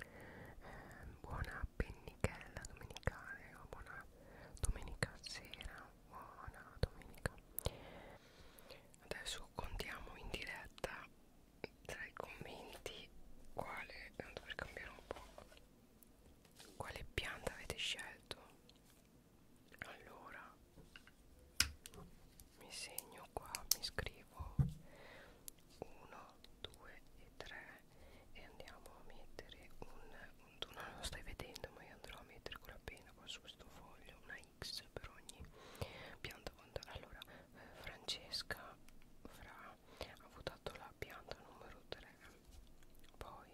eh, buona pennichella domenicale o buona domenica sera buona domenica adesso contiamo in diretta tra i commenti quale tanto per cambiare un po' quale pianta avete scelto allora mi segno qua mi scrivo 1 2 e 3 e andiamo a mettere un, un tu non lo stai vedendo ma io andrò a mettere con la penna qua su questo foglio una x per ogni pianta allora eh, Francesca fra ha votato la pianta numero 3 poi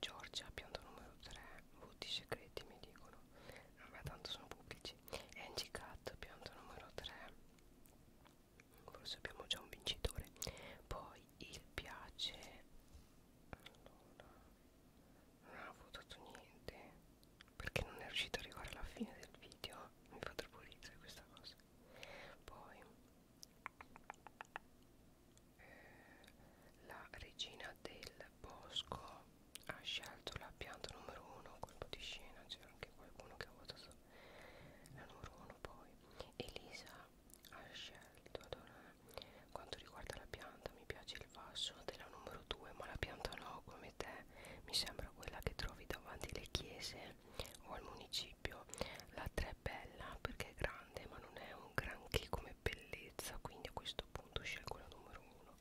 Giorgia pianta numero 3 voti segreti mi dicono ma tanto sono pubblici amici Angie Cat pianta numero 3 forse abbiamo già un vincitore poi il piace allora non ha votato niente perché non è riuscito ad arrivare alla fine del video mi fa troppo ridere questa cosa poi eh, la regina del bosco ha scelto la pianta numero uno colpo di scena c'era anche qualcuno che ha votato la numero uno poi Elisa ha scelto allora quanto riguarda la pianta mi piace il vaso della numero 2 ma la pianta no come te mi sembra quella che trovi davanti alle chiese o al municipio la 3 è bella perché è grande ma non è un granché come bellezza quindi a questo punto scelgo la numero 1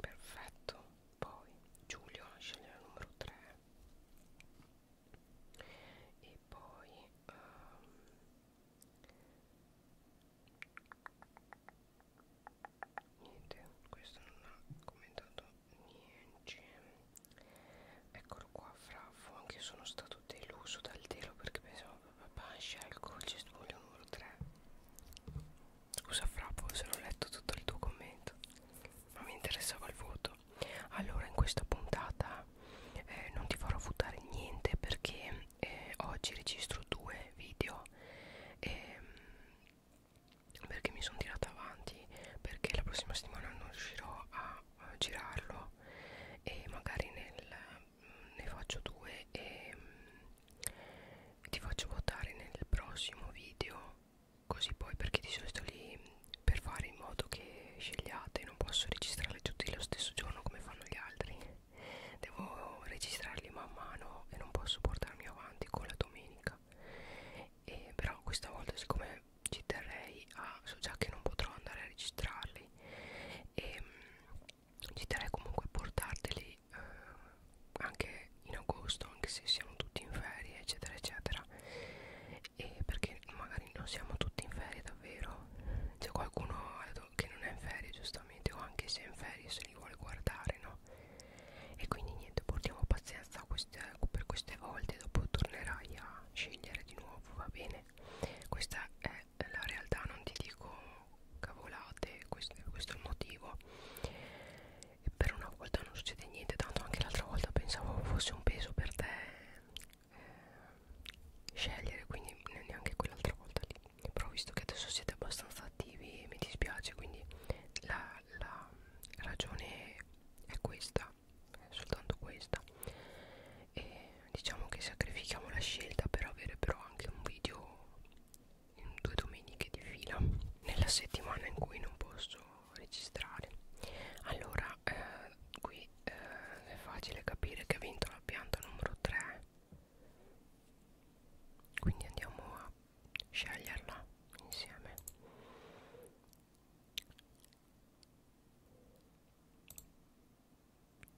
perfetto poi Giulio sceglie la numero 3 e poi um, niente questo non ha commentato niente eccolo qua Fraffo anche io sono stato deluso dal telo perché pensavo papà scelgo il cioè, cestpuglio numero 3 Scusa Fra, forse non ho letto tutto il tuo commento, ma mi interessava il voto. Allora, in questa puntata eh, non ti farò votare niente perché eh, oggi registro due video eh, perché mi sono tirata avanti, perché la prossima settimana non riuscirò a, a girarlo e magari nel, ne faccio due e, ti faccio votare nel prossimo video così poi perché di solito lì per fare in modo che scegliate non posso registrarli tutti lo stesso giorno come fanno gli altri devo registrarli man mano e non posso portarmi avanti con la domenica e però questa volta siccome ci terrei a so già che non potrò andare a registrarli e ehm, ci terrei comunque a portarteli quindi eh, anche in agosto anche se siamo tutti in ferie eccetera eccetera e perché magari non siamo tutti in ferie davvero c'è qualcuno che non è in ferie giustamente o anche se è in ferie se li vuole guardare no e quindi niente portiamo pazienza queste, per queste volte dopo tornerai a scegliere di nuovo va bene questa è la realtà non ti dico cavolate questo, questo è il motivo e per una volta non succede niente tanto anche l'altra volta pensavo fosse un peso per te eh, scegliere quindi neanche quell'altra volta lì però visto che adesso siete abbastanza attivi mi dispiace quindi la, la ragione è questa è soltanto questa e diciamo che sacrifichiamo la scelta per avere però anche un video due domeniche di fila nella settimana in cui non posso registrare allora eh, qui eh, è facile capire che ha vinto la pianta numero 3 quindi andiamo a sceglierla insieme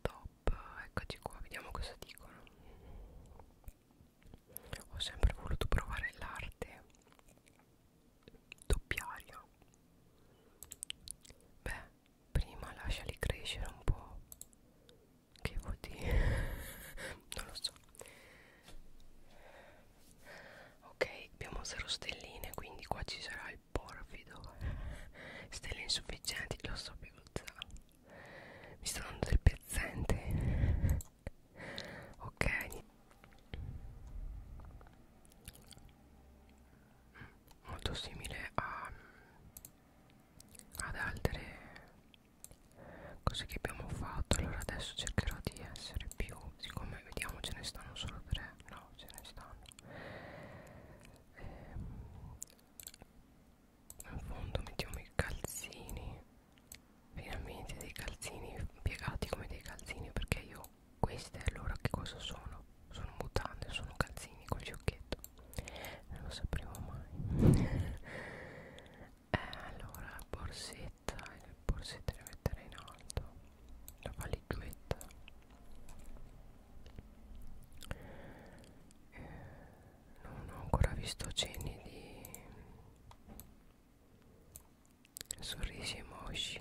top eccoci qua vediamo cosa dicono ho sempre voluto provare l'arte doppiaria beh prima lasciali crescere un po' che vuol dire non lo so ok abbiamo zero stelline quindi qua ci sarà il porfido stelle insufficienti lo sapevo già mi sto dando del pezzente ok molto simile a, ad altre cose che abbiamo fatto allora adesso cercherò di essere più siccome vediamo ce ne stanno solo tre no ce ne stanno eh, in fondo mettiamo i calzini finalmente dei calzini piegati come dei calzini perché io queste allora che cosa sono? sono mutande, sono calzini col giocchetto non lo sapremo mai eh, allora borsetta le borsette le metterei in alto la valigetta eh, non ho ancora visto ceni di sorrisi emoji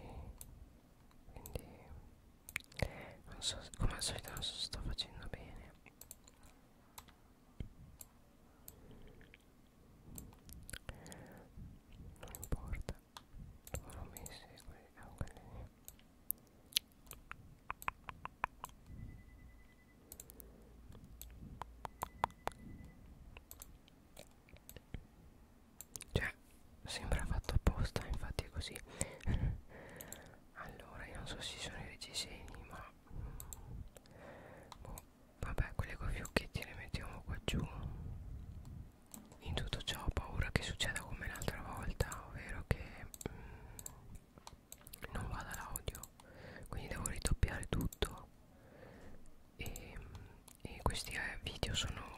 quindi non so come al solito non so se sto facendo bene non importa tu non mi segui ah, cioè, sembra fatto apposta, infatti è così. allora, io non so se ci sono i reggiseni, ma... Boh, vabbè, quelle con fiocchetti le mettiamo qua giù. In tutto ciò ho paura che succeda come l'altra volta, ovvero che... Mm, non vada l'audio quindi devo ridoppiare tutto e, e questi eh, video sono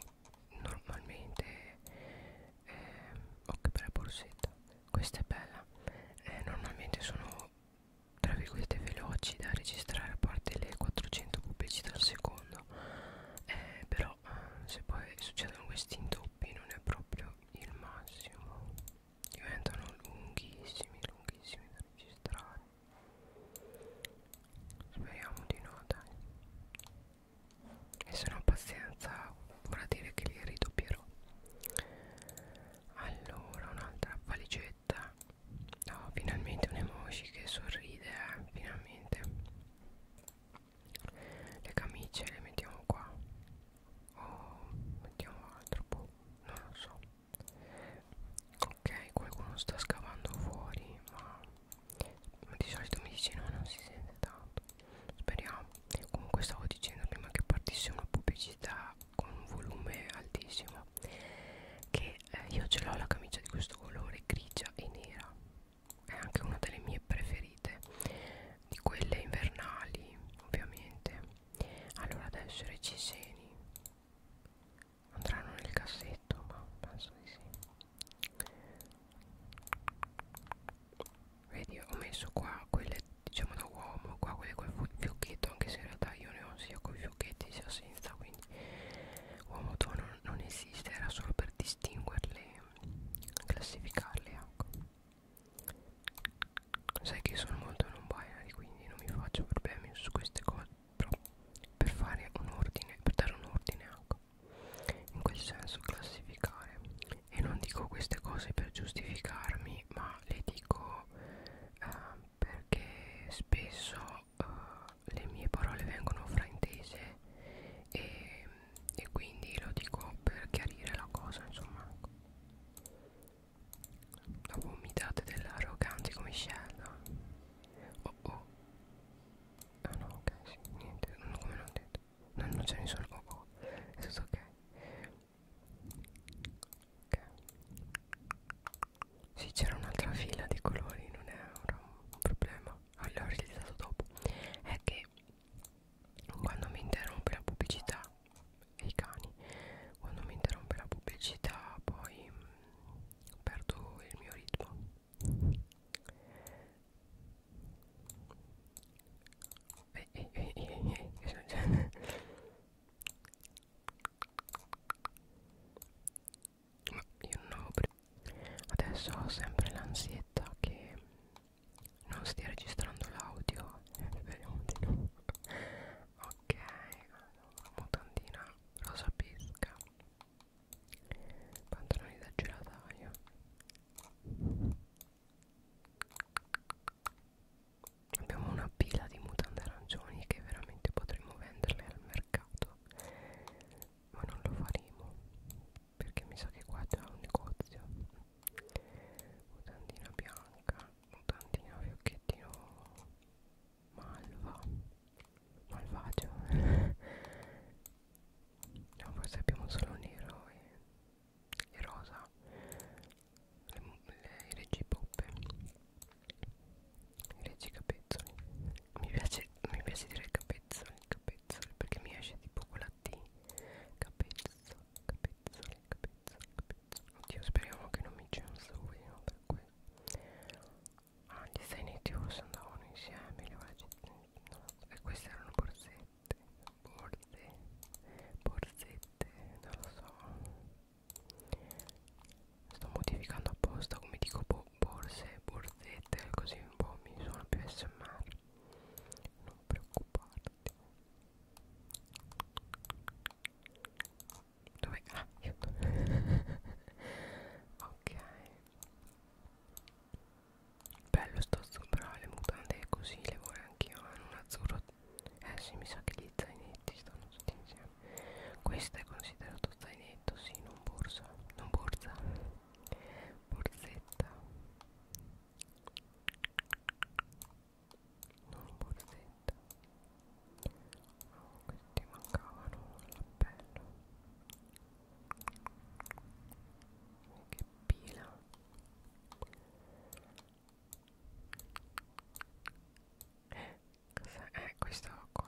normalmente eh, oh che bella borsetta questa è bella eh, normalmente sono tra virgolette veloci da registrare a parte le 400 pubblicità al secondo eh, però eh, se poi succedono questi indoppi non è proprio il massimo diventano lunghissimi lunghissimi da registrare speriamo di no dai e se non pazienza vorrà dire che li ridoppierò allora un'altra valigetta no finalmente un emoji che sorride eh? finalmente le camicie le mettiamo qua o oh, mettiamo altro boh, non lo so ok qualcuno sta scavando fuori ma, ma di solito mi dice no non si sente tanto speriamo comunque stavo dicendo prima che partisse una pubblicità con un volume altissimo che eh, io ce l'ho la camicia di questo colore grigia e nera è anche una delle mie preferite di quelle invernali ovviamente allora adesso i reciseni andranno nel cassetto ma penso di sì vedi ho messo qua quelle diciamo da uomo qua quelle col fiocchetto anche se in realtà io ne ho sia con i fiocchetti sia senza quindi uomo tono non esiste era solo per distinguerle classificarle ecco sai che sono molto non binary quindi non mi faccio problemi su queste cose però per fare un ordine per dare un ordine anche ecco. in quel senso classificare e non dico queste cose per giustificarmi ma le dico eh, perché spesso eh, le mie parole vengono fraintese e, e quindi lo dico per chiarire la cosa insomma ecco. La vomitate dell'arrogante come scella Oh oh Ah no ok sì, niente non, come non ho detto No non c'è nessun oh oh È tutto ok Ok Sì c'era un'altra fila di colori non era un problema Allora ho realizzato dopo È che quando mi interrompe la pubblicità e i cani quando mi interrompe la pubblicità poi mh, mm, perdo il mio ritmo eh, eh, eh, eh, eh. eh, eh. ma io non ho adesso ho sempre l'ansietta che non stia registrando l'audio speriamo di no ok allora, mutandina rosa pesca pantaloni da gelataio abbiamo una pila di mutande arancioni che veramente potremmo venderle al mercato ma non lo faremo perché mi sa che qua c'è un negozio mutandina bianca mutandina fiocchettino malva malvagio no forse abbiamo solo nero e, e rosa le, le, i reggi poppe i reggi capezzoli mi piace, mi piace dire capezzoli capezzoli perché mi esce tipo quella T capezzo capezzo pizzoling pizzoling pizzoling oddio speriamo che non mi censurino per questo ah gli zainettiori Tios andavano insieme le vaccine, no, e queste erano borsette borse borsette non lo so sto modificando apposta come dico bo borse borsette così un po' mi sono più smr non preoccuparti dove? Ah, aiuto. ok. Bello sto azzurro, però ah, le mutande così le vorrei anch'io. Hanno un azzurro. Eh sì, mi sa che gli zainetti stanno tutti insieme. Questo è considerato zainetto, sì, non borsa. Non borsa. Borsetta non borsetta oh, questi mancavano all'appello oh, che pila eh, cosa è questo qua?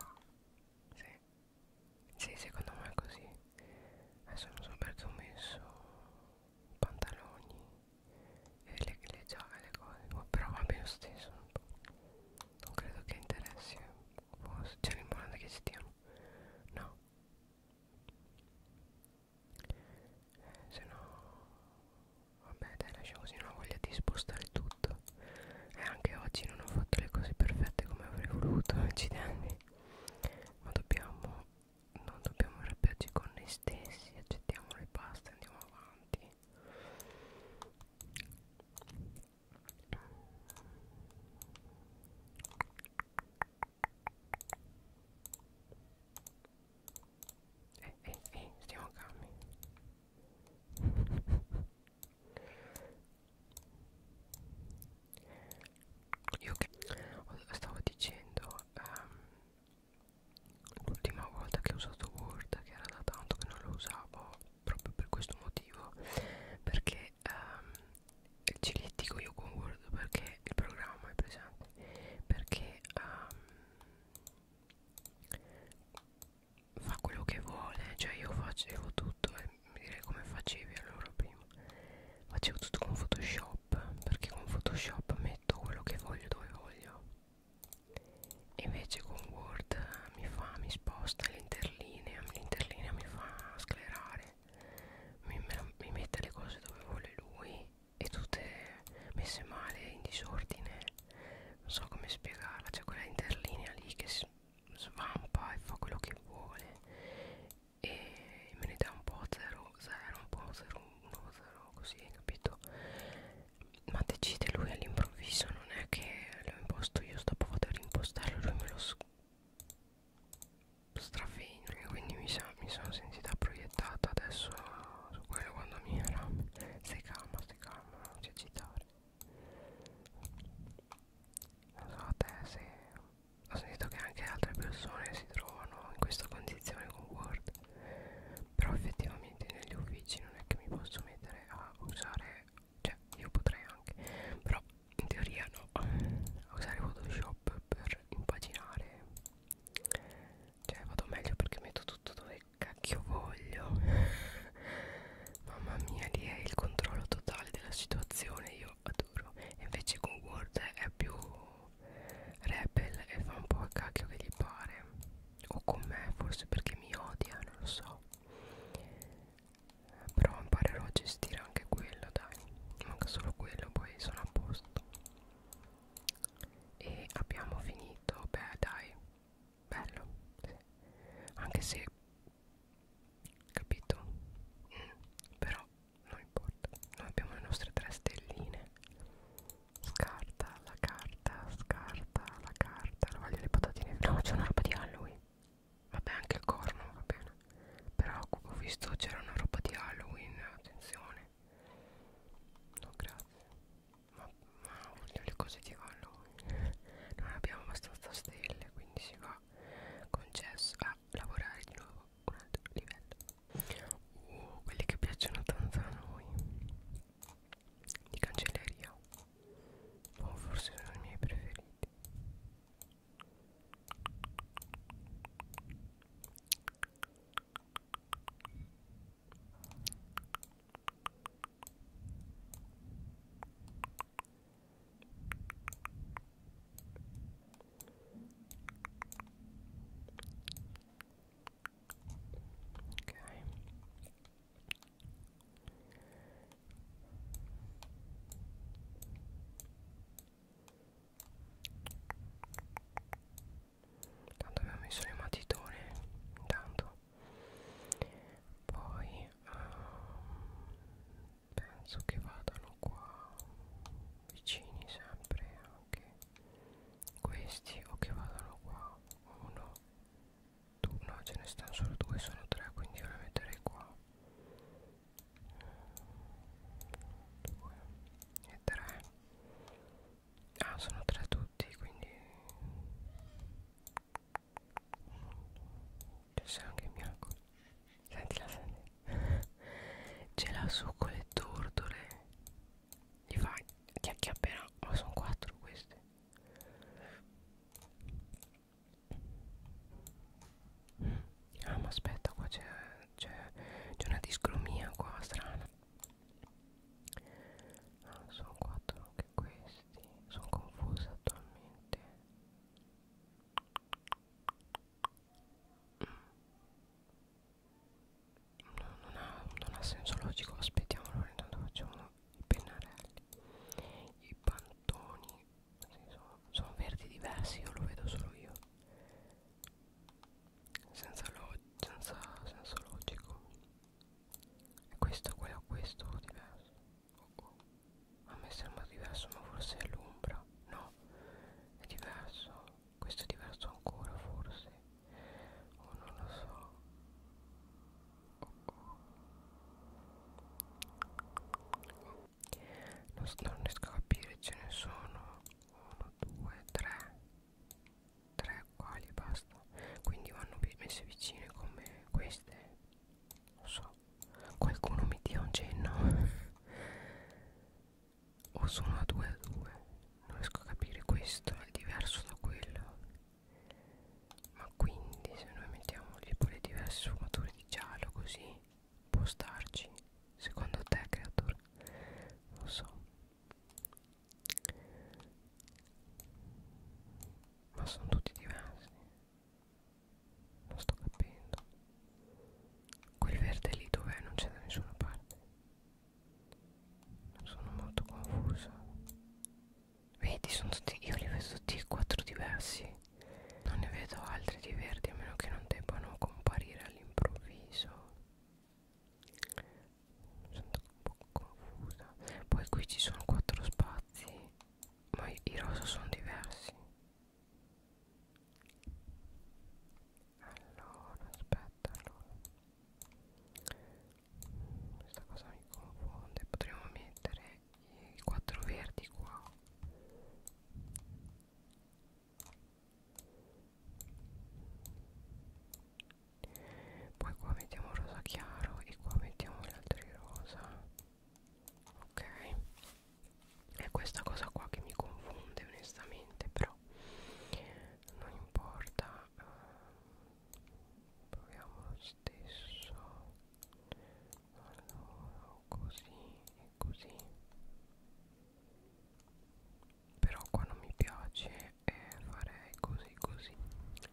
Sì. sì, secondo me è così adesso mi sono perso messo pantaloni e le, le giaga le cose oh, però va bene lo stesso non credo che interessi cioè l'importante è che ci stiano no eh, se no vabbè dai lasciamo così non ho voglia di spostare tutto e anche oggi non ho fatto le cose perfette come avrei voluto accidenti ma dobbiamo non dobbiamo arrabbiarci con noi stessi accettiamo le paste andiamo avanti eh eh eh stiamo calmi io che stavo dicendo um, l'ultima volta che ho usato Word che era da tanto che non lo usavo proprio per questo motivo perché ehm, ci litigo io con Word perché il programma è presente perché ehm, fa quello che vuole cioè io facevo tutto e mi direi come facevi allora prima facevo tutto con Photoshop Photoshop perché con Photoshop metto quello che voglio dove voglio e invece con Word mi fa, mi sposta l'interlinea, l'interlinea mi fa sclerare, mi, mi mette le cose dove vuole lui e tutte messe male, in disordine, non so come spiegarla, c'è cioè quella interlinea lì che svampa e fa quello che vuole e me ne dà un po' 0 0 un po' 0 1 0 così capito ma decide lui all'improvviso non è che l'ho imposto io dopo vado a rimpostarlo lui me lo strafegna quindi mi, sa, mi sono sentita proiettata adesso su quello quando mi era stai calma stai calma non ti agitare non so a te se ho sentito che anche altre persone si trovano in questa condizione con Word però effettivamente negli uffici non è che mi posso mettere a usare cioè io potrei anche però in teoria no a usare Photoshop per impaginare cioè vado meglio perché metto tutto dove cacchio voglio mamma mia lì è il controllo totale della situazione io adoro e invece con Word è più rebel e fa un po' a cacchio che gli pare o con me forse perché mi odia non lo so però imparerò a gestire anche quello dai manca solo quello poi sono a posto e abbiamo finito beh dai bello sì. anche se capito mm, però non importa noi abbiamo le nostre tre stelline scarta la carta scarta la carta non voglio le patatine no c'è una roba di Halloween vabbè anche il corno va bene però ho visto c'era una roba di Halloween attenzione no grazie ma, ma voglio le cose di Halloween non abbiamo abbastanza stelle quindi si va concesso a lavorare di nuovo un altro livello uh, quelli che piacciono tanto a noi di cancelleria o oh, forse sono i miei preferiti ok Tanto abbiamo messo le matitone intanto poi um, penso che vadano qua vicini sempre anche questi o che vadano qua uno due, no ce ne stanno solo due sono tre quindi io la metterei qua due e tre ah sono tre tutti quindi c'è anche in bianco Sentila, senti. Ce l'ha su con le tortole. Gli fai, ti acchiapperà. Ma oh, sono quattro queste. Ah, ma aspetta, qua c'è una discromia qua strana. Ah, sono quattro anche questi. Sono confusa attualmente no, non, ha, non ha senso logico aspettiamo allora intanto facciamo i pennarelli i pantoni sì, sono, sono verdi diversi io lo vedo solo io senza, lo, senza senso logico e questo quello questo diverso oh, oh. a me sembra diverso ma forse è l'ombra no è diverso questo è diverso ancora forse o oh, non lo so oh, oh. Non, non riesco a capire ce ne sono 1 2 3 3 uguali e basta quindi vanno messe vicine come queste non so qualcuno mi dia un cenno o sono a 2 a 2 non riesco a capire questo è diverso da quello ma quindi se noi mettiamo le pole diverse sfumature di giallo così può starci secondo te creator non so ma sono tutti diversi non sto capendo quel verde lì dov'è non c'è da nessuna parte sono molto confusa vedi sono tutti io li vedo tutti e quattro diversi non ne vedo altri di verdi a meno che non debbano comparire all'improvviso sono un po' confusa poi qui ci sono quattro spazi ma i rosa sono diversi allora, aspetta, allora. Questa cosa mi confonde. Potremmo mettere i quattro verdi qua. Poi qua mettiamo rosa chiaro e qua mettiamo gli altri rosa. Ok è questa cosa qua che mi confonde onestamente però non importa eh, proviamo lo stesso allora così e così però qua non mi piace e eh, farei così così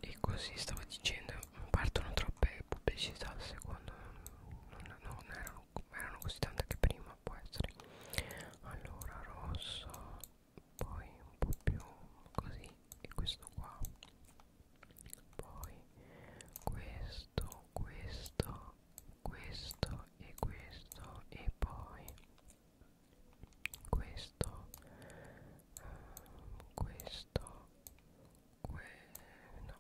e così stavo dicendo partono troppe pubblicità secondo me non, non erano erano così tante che prima può essere allora rosso poi un po' più così e questo qua poi questo questo questo e questo e poi questo um, questo que no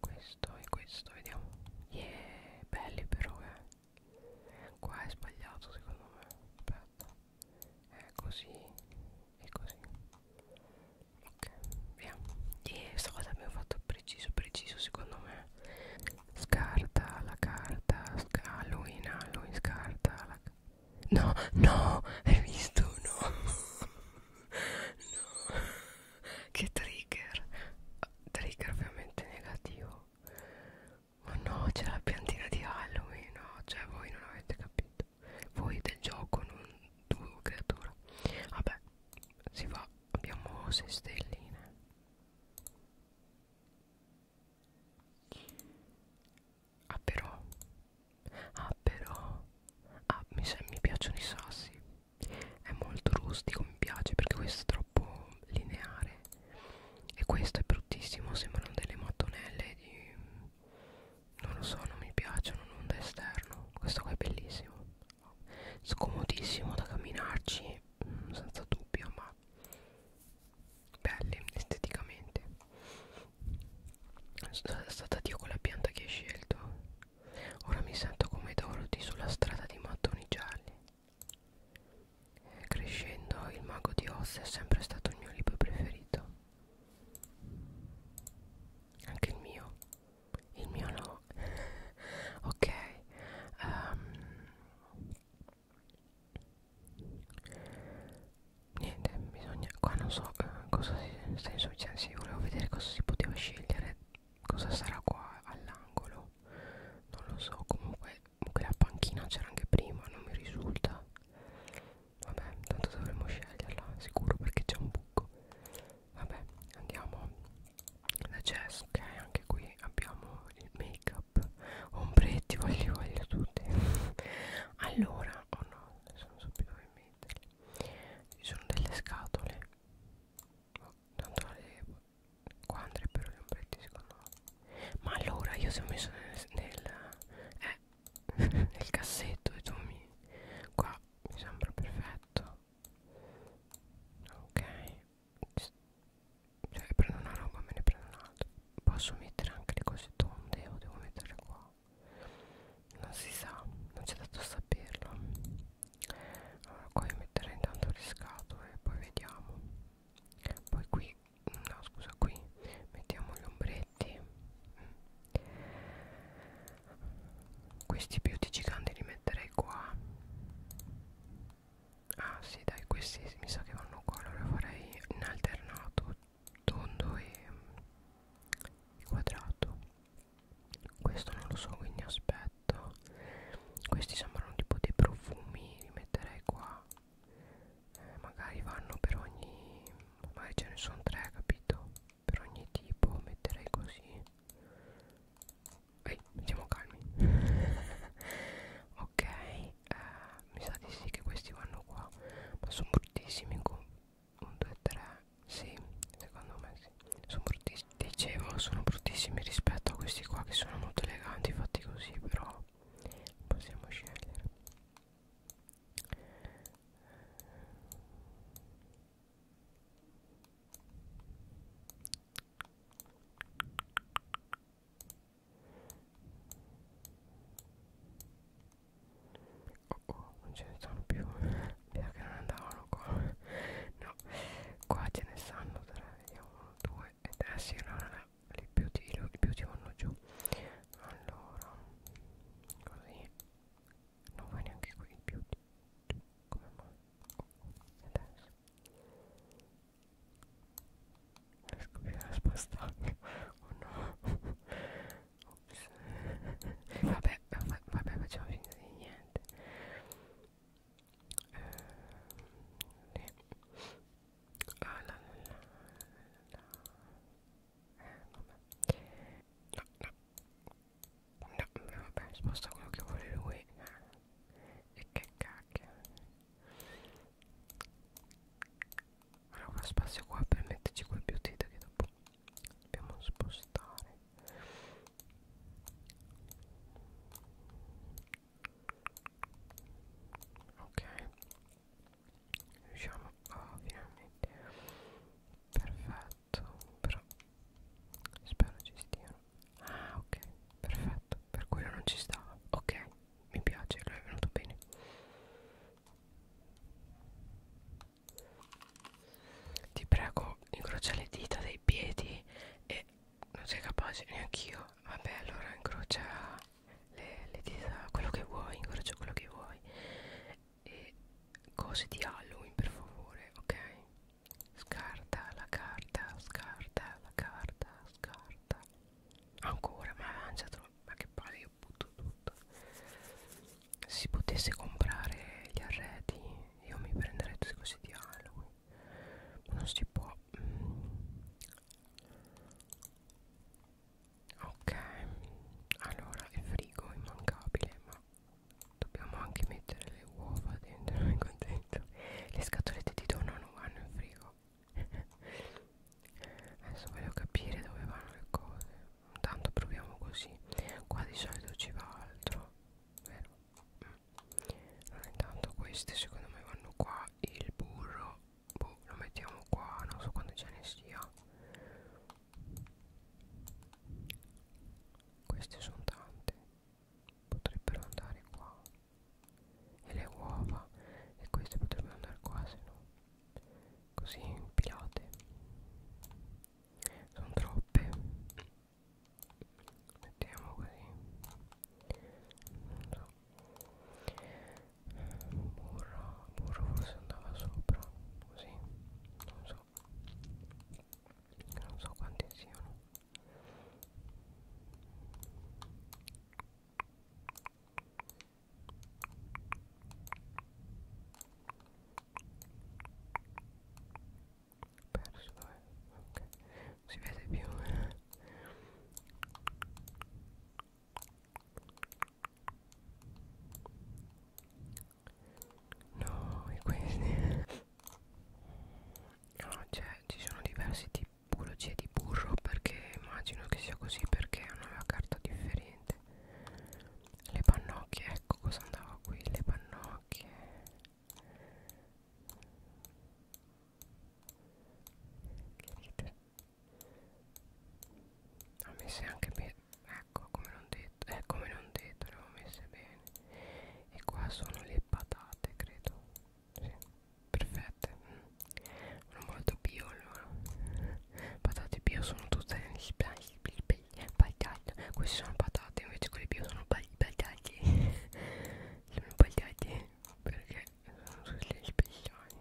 questo e questo vediamo yeah belli però eh qua è sbagliato secondo me aspetta è così e così ok via yeah questa cosa abbiamo fatto preciso preciso secondo me scarta la carta sca Halloween Halloween scarta la carta no no hai visto no no che trigger trigger ovviamente negativo ma no c'è la piantina di Halloween no cioè voi non avete capito voi del gioco non tu creatura vabbè si va abbiamo 6 stelline ah però ah però ah mi, mi piacciono i sassi è molto rustico mi piace perché questo è troppo lineare e questo è bruttissimo sembrano delle mattonelle di non lo so non mi piacciono non da esterno questo qua è bellissimo scomodissimo da camminarci mm, senza dubbio ma belli esteticamente stata Dio con la pianta che hai scelto Ora mi sento come Dorothy sulla strada di mattoni gialli. Crescendo, il mago di Oz è sempre stato il mio libro preferito. Anche il mio. Il mio no. ok. Um. Niente, bisogna... Qua non so eh, cosa si... Senso, cioè, volevo vedere cosa si poteva scegliere cosa sarà qua all'angolo non lo so comunque quella panchina c'era anche prima non mi risulta vabbè tanto dovremmo sceglierla sicuro perché c'è un buco vabbè andiamo la chest ok anche qui abbiamo il make up ombretti voglio voglio tutti allora oh no adesso non so più dove metterli ci sono delle scatole andare qua andrebbero gli ombretti secondo me ma allora io se ho messo nel, nel, eh, nel cassetto e tu mi qua mi sembra perfetto ok cioè prendo una roba me ne prendo un'altra posso mettere anche le cose tonde o devo metterle qua non si sa non c'è dato saperlo allora qua io metterei intanto riscato e poi vediamo poi qui no scusa qui mettiamo gli ombretti questi beauty giganti li metterei qua ah sì dai questi mi sa che vanno qua allora farei in alternato tondo e quadrato questo non lo so quindi aspetto questi sembrano tipo dei profumi li metterei qua eh, magari vanno per ogni magari ce ne sono tre capito per ogni tipo metterei così ehi siamo calmi ok eh, mi sa di sì che questi vanno qua ma sono bruttissimi in, 1 2 3 sì secondo me sì sono bruttissimi dicevo sono bruttissimi rispetto a questi qua che sono molto eleganti fatti così però possiamo scegliere oh oh non ce ne stanno più via che non andavano qua no qua ce ne stanno tre vediamo uno due e tre sì allora no, li più ti, li più ti vanno giù allora così non vai neanche qui il più ti, come mai oh, oh. adesso riesco più a spastarmi oh no Ops. vabbè, vabbè, vabbè, facciamo finta di niente. Eh, eh. Ah, la, la, la, la. Eh, vabbè. No, no. No, vabbè, sposta quello che vuole lui. E che cacchio. Allora, spazio qua per metterci quel beauty che dopo dobbiamo spostare ok riusciamo a finalmente perfetto però spero ci stiano ah ok perfetto per quello non ci stava ok mi piace lui è venuto bene ti prego, incrocia le dita dei piedi e non sei capace neanche io. Vabbè, allora incrocia le, le dita, quello che vuoi, incrocia quello che vuoi. E cose di Halloween, per favore, ok? Scarta la carta, scarta la carta, scarta. Ancora, ma lanciatelo, ma che palle, io butto tutto si potesse comprare gli arredi io mi prenderei tutti questi dialoghi ma non si può mm. ok allora il frigo è immancabile ma dobbiamo anche mettere le uova dentro mi contento le scatolette di dono non vanno in frigo adesso voglio capire dove vanno le cose tanto proviamo così qua di solito ci va altro vero allora, mm. eh, intanto queste secondo me vanno qua il burro boh, lo mettiamo qua non so quando ce ne sia queste sono tante potrebbero andare qua e le uova e queste potrebbero andare qua se no così impilate sono troppe mettiamo così non so burro burro forse andava sopra così non so non so quanti siano perso dov'è? Eh, ok non si vede più eh. no e questi eh. no cioè ci sono diversi tipologie di burro perché immagino che sia così perché hanno la carta differente le pannocchie ecco cosa andava qui le pannocchie che dite ho messe anche bene ecco come non detto eh, come non detto le ho messe bene e qua sono le patate credo sì, perfette sono molto bio allora patate bio sono tutte bagagli queste sono patate invece quelle più sono bagagli sono bagagli perché sono sulle speciali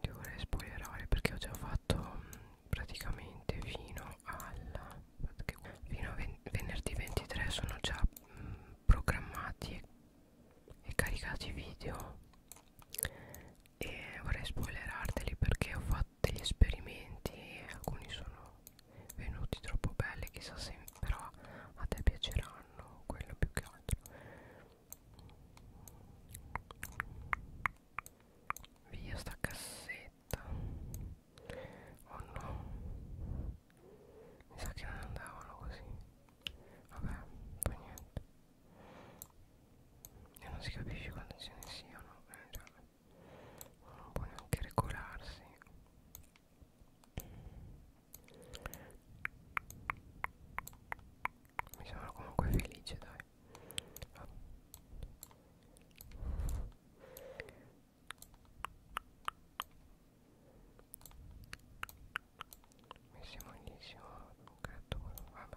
ti vorrei spoilerare perché ho già fatto praticamente fino alla fino a ven venerdì 23 sono già mh, programmati e caricati video e vorrei spoilerarteli perché ho fatto degli esperimenti e alcuni sono venuti troppo belli chissà se però a te piaceranno quello più che altro via sta cassetta oh no mi sa che non andavano così vabbè poi niente e non si capisce quando ce ne siano eh, cioè, non può neanche regolarsi mi sembra comunque felice dai oh messi malissimo gatto vabbè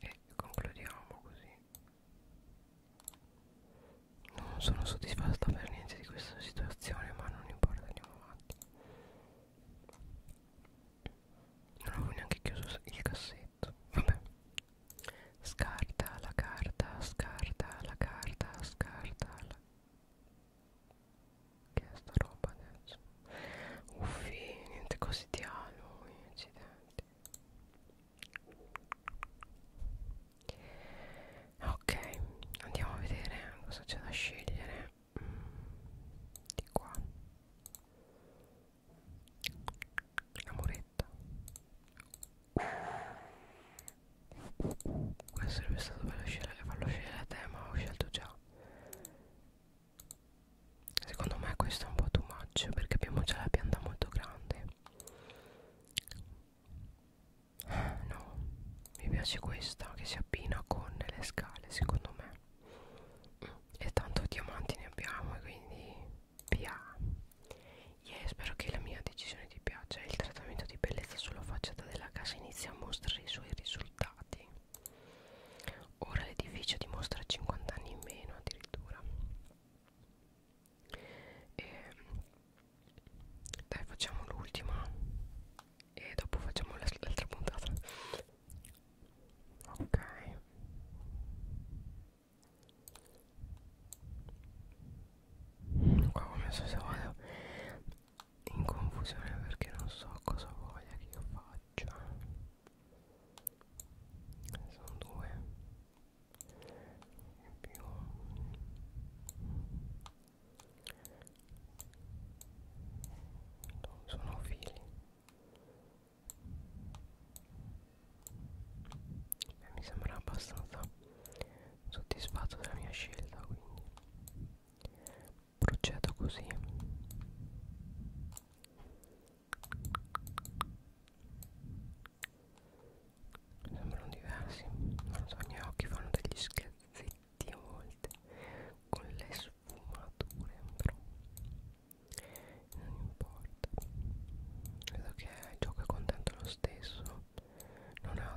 e concludiamo così non sono soddisfatta per niente di questa situazione ma non importa andiamo avanti non avevo neanche chiuso il cassetto vabbè scarta la carta scarta la carta scarta la che è sta roba adesso? Uffi, niente così di a lui, accidenti. Ok, andiamo a vedere cosa c'è da scegliere. Mm, di qua. La muretta. Questo sarebbe stato bello scegliere, farlo scegliere a te, ma ho scelto già. Secondo me questo è un po' too much perché abbiamo già la pianta molto grande. No, mi piace questa che si abbina con le scale, secondo me. E tanto diamanti ne abbiamo, quindi via. Yeah, spero che la mia decisione condizioni di pioggia e il trattamento di bellezza sulla facciata della casa inizia a mostrare i suoi risultati. Ora l'edificio dimostra 50 anni in meno addirittura. E dai, facciamo l'ultima e dopo facciamo l'altra puntata. Ok. Qua ho messo se vado in confusione perché non so cosa voglia che io faccia sono due e più non sono fili Beh, mi sembra abbastanza soddisfatto della mia scelta quindi procedo così sembrano diversi non so i miei occhi fanno degli scherzetti a volte con le sfumature però non importa vedo che il gioco è contento lo stesso non ha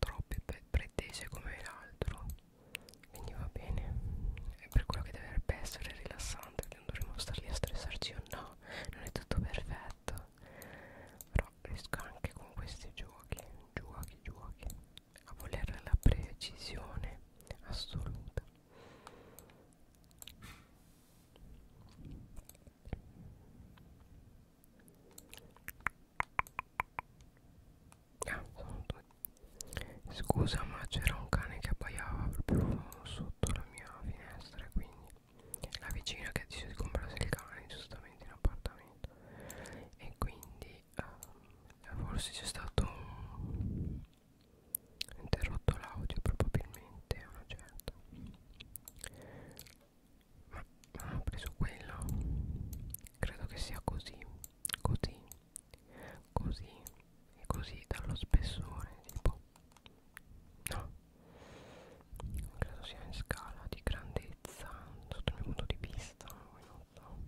troppe pretese come l'altro quindi va bene è per quello che dovrebbe essere rilassante non dovremmo star lì a stressarci o no non è tutto perfetto però riesco anche con questi giochi giochi giochi a voler la precisione assoluta Ah, sono due. Scusa, ma c'era un cane che abbaiava proprio sotto la mia finestra. Quindi la vicina che ha deciso di comprarsi il cane, giustamente in appartamento. E quindi eh, forse c'è stato un interrotto l'audio, probabilmente a una certa ma non ho preso quello credo che sia così così così e così dallo spessore tipo no credo sia in scala di grandezza sotto il mio punto di vista non so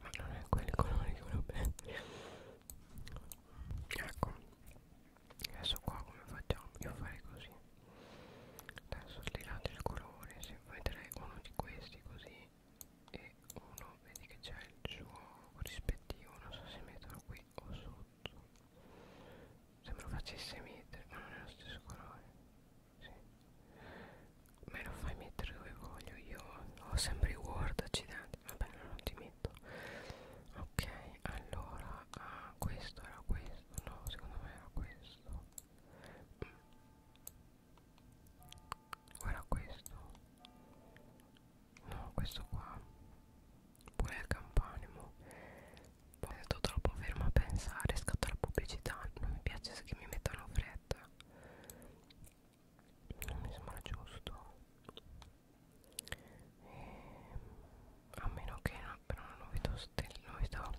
ma non è quel colore che volevo bene ecco adesso qua come facciamo io farei così adesso slegate il colore se vedrei uno di questi così e uno vedi che c'è il suo rispettivo non so se metterlo qui o sotto se me lo facesse mettere ma non è lo stesso colore sì. me lo fai mettere dove voglio io ho sempre i word accidenti vabbè non ti metto perfetto ok allora ah, questo era questo no secondo me era questo mm. era questo no questo qua pure il campanimo ho detto troppo fermo a pensare scatta la pubblicità non mi piace che mi mettano fretta non mi sembra giusto e, ehm, a meno che no, però non vedo stelle non vedo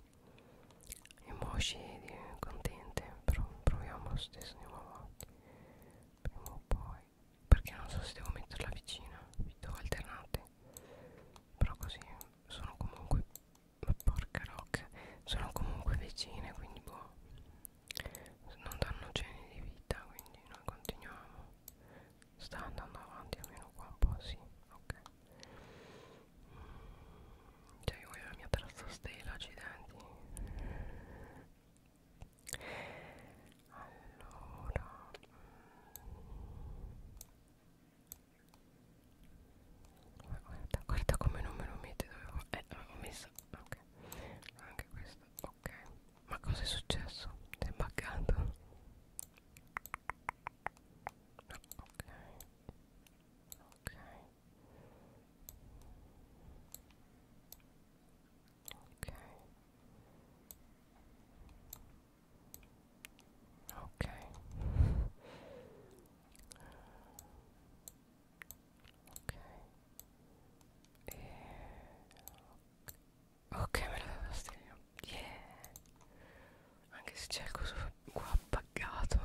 emoji contente però proviamo lo stesso andiamo avanti prima o poi perché non so se devo metterla vicina video alternate però così sono comunque ma porca rocca sono comunque vicine quindi boh non danno geni di vita quindi noi continuiamo sta andando avanti almeno qua un po' sì ok mm, cioè io voglio la mia terza stella accidenti allora mm. guarda, guarda come non me lo mette dove ho, eh, ho messo ok anche questo Ok, ma cosa è successo? Sei buggato? No, ok. Ok. Ok. Ok. Ok. E... Ok. Ok me la dà fastidio Yeah Anche se c'è il coso qua appagato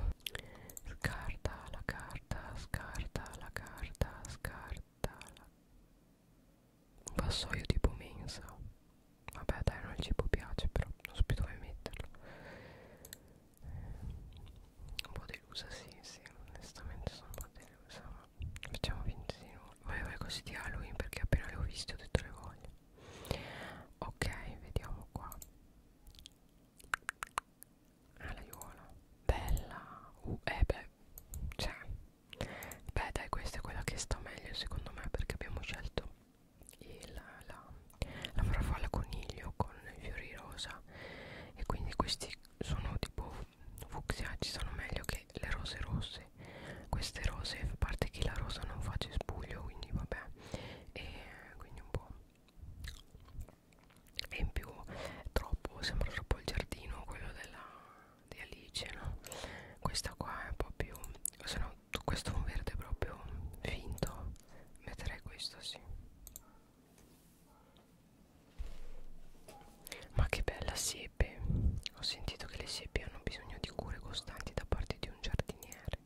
Scarta la carta Scarta la carta Scarta la Un vassoio tipo mensa Vabbè dai non il cibo piace però Non so più dove metterlo Un po' delusa sì sì Onestamente sono un po' delusa ma facciamo finta di nulla volevo le cose di Halloween perché appena le ho viste ho detto le voglio ok vediamo qua ah l'aiuola bella uh, eh beh cioè beh dai questa è quella che sta meglio secondo me perché abbiamo scelto il, la, la farfalla coniglio con i fiori rosa e quindi questi sono tipo fucsiacci sono meglio che le rose rosse queste rose a parte che la rosa non fa cespuglio quindi vabbè e quindi un po' e in più è troppo sembra troppo il giardino quello della di Alice no questa qua è un po' più se no questo è un verde proprio finto metterei questo sì ma che bella siepe! Ho sentito che le siepi hanno bisogno di cure costanti da parte di un giardiniere,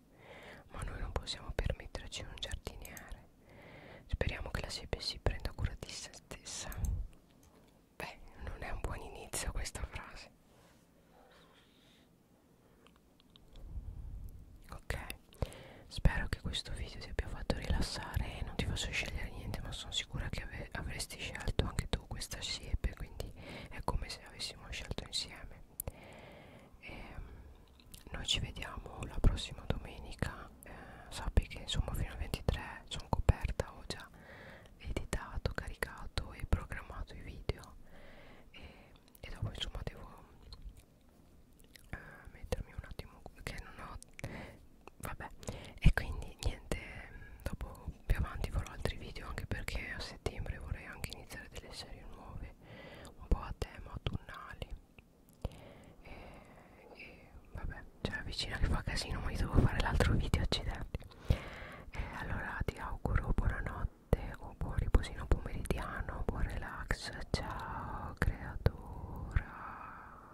ma noi non possiamo permetterci un giardiniere. Speriamo che la siepe si prenda cura di se stessa. Beh, non è un buon inizio questa frase. Ok, spero che questo video ti abbia fatto rilassare e non ti faccio scegliere niente, ma sono sicura che avrei avre avresti scelto anche tu questa siepe quindi è come se avessimo scelto insieme e ehm, noi ci vediamo la prossima domenica eh, sappi che insomma fino al 23 sono coperta ho già editato caricato e programmato i video e, e dopo insomma devo eh, mettermi un attimo che non ho vabbè e quindi niente dopo più avanti farò altri video anche perché a settembre vorrei anche iniziare delle serie nuove un po' a tema autunnali e, e vabbè c'è cioè, la vicina che fa casino ma io devo fare l'altro video accidenti e allora ti auguro buonanotte o buon riposino pomeridiano buon relax ciao creatura